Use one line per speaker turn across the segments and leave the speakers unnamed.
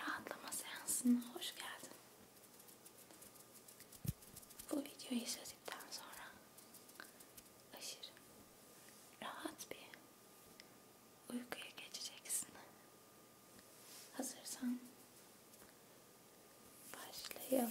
Rahatlama seansına hoş geldin. Bu videoyu izledikten sonra aşırı rahat bir uykuya geçeceksin. Hazırsan başlayalım.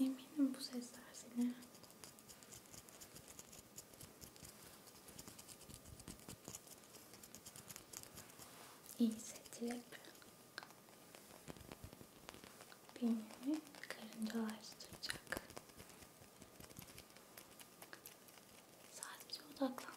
Eminim bu sesler seni iyi hissettirip beynini karıncalaştıracak. Sadece odaklan.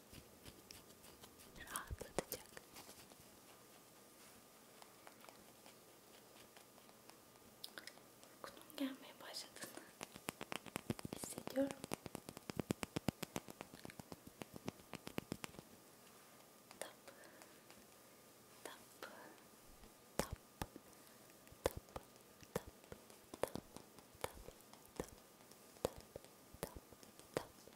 rahatlatacak. Uykunun gelmeye başladığını hissediyorum. Tap, tap, tap, tap, tap, tap, tap, tap, tap, tap, tap,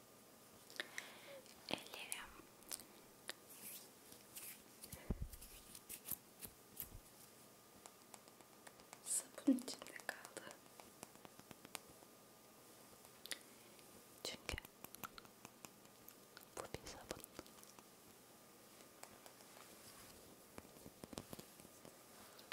Ellerim sabun içinde kaldı. Çünkü bu bir sabun.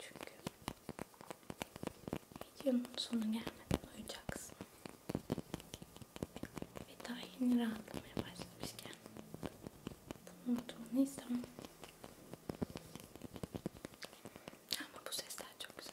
Çünkü videonun sonu gelmeden uyuyacaksın. Ve daha yeni rahatlamaya başlamışken bunu unutmanı istemem. Ama bu sesler çok güzel.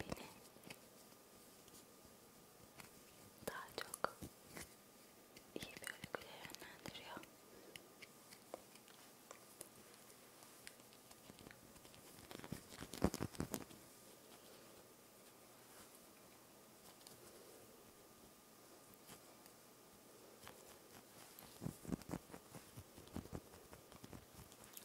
beni daha çok iyi bir örgüye yönlendiriyor.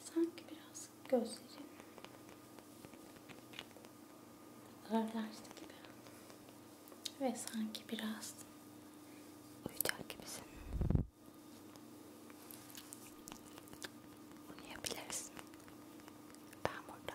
Sanki biraz gözlerim ağırlaştı gibi. Ve sanki biraz uyuyacak gibisin. Bunu yapabilirsin. Ben burada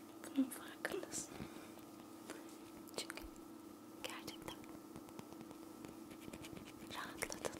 Bunun farkındasın. Çünkü gerçekten rahatladın.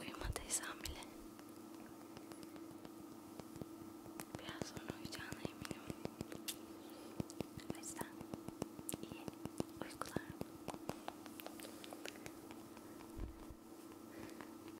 Uyumadıysam bile biraz sonra uyuyacağına eminim. O yüzden iyi uykular.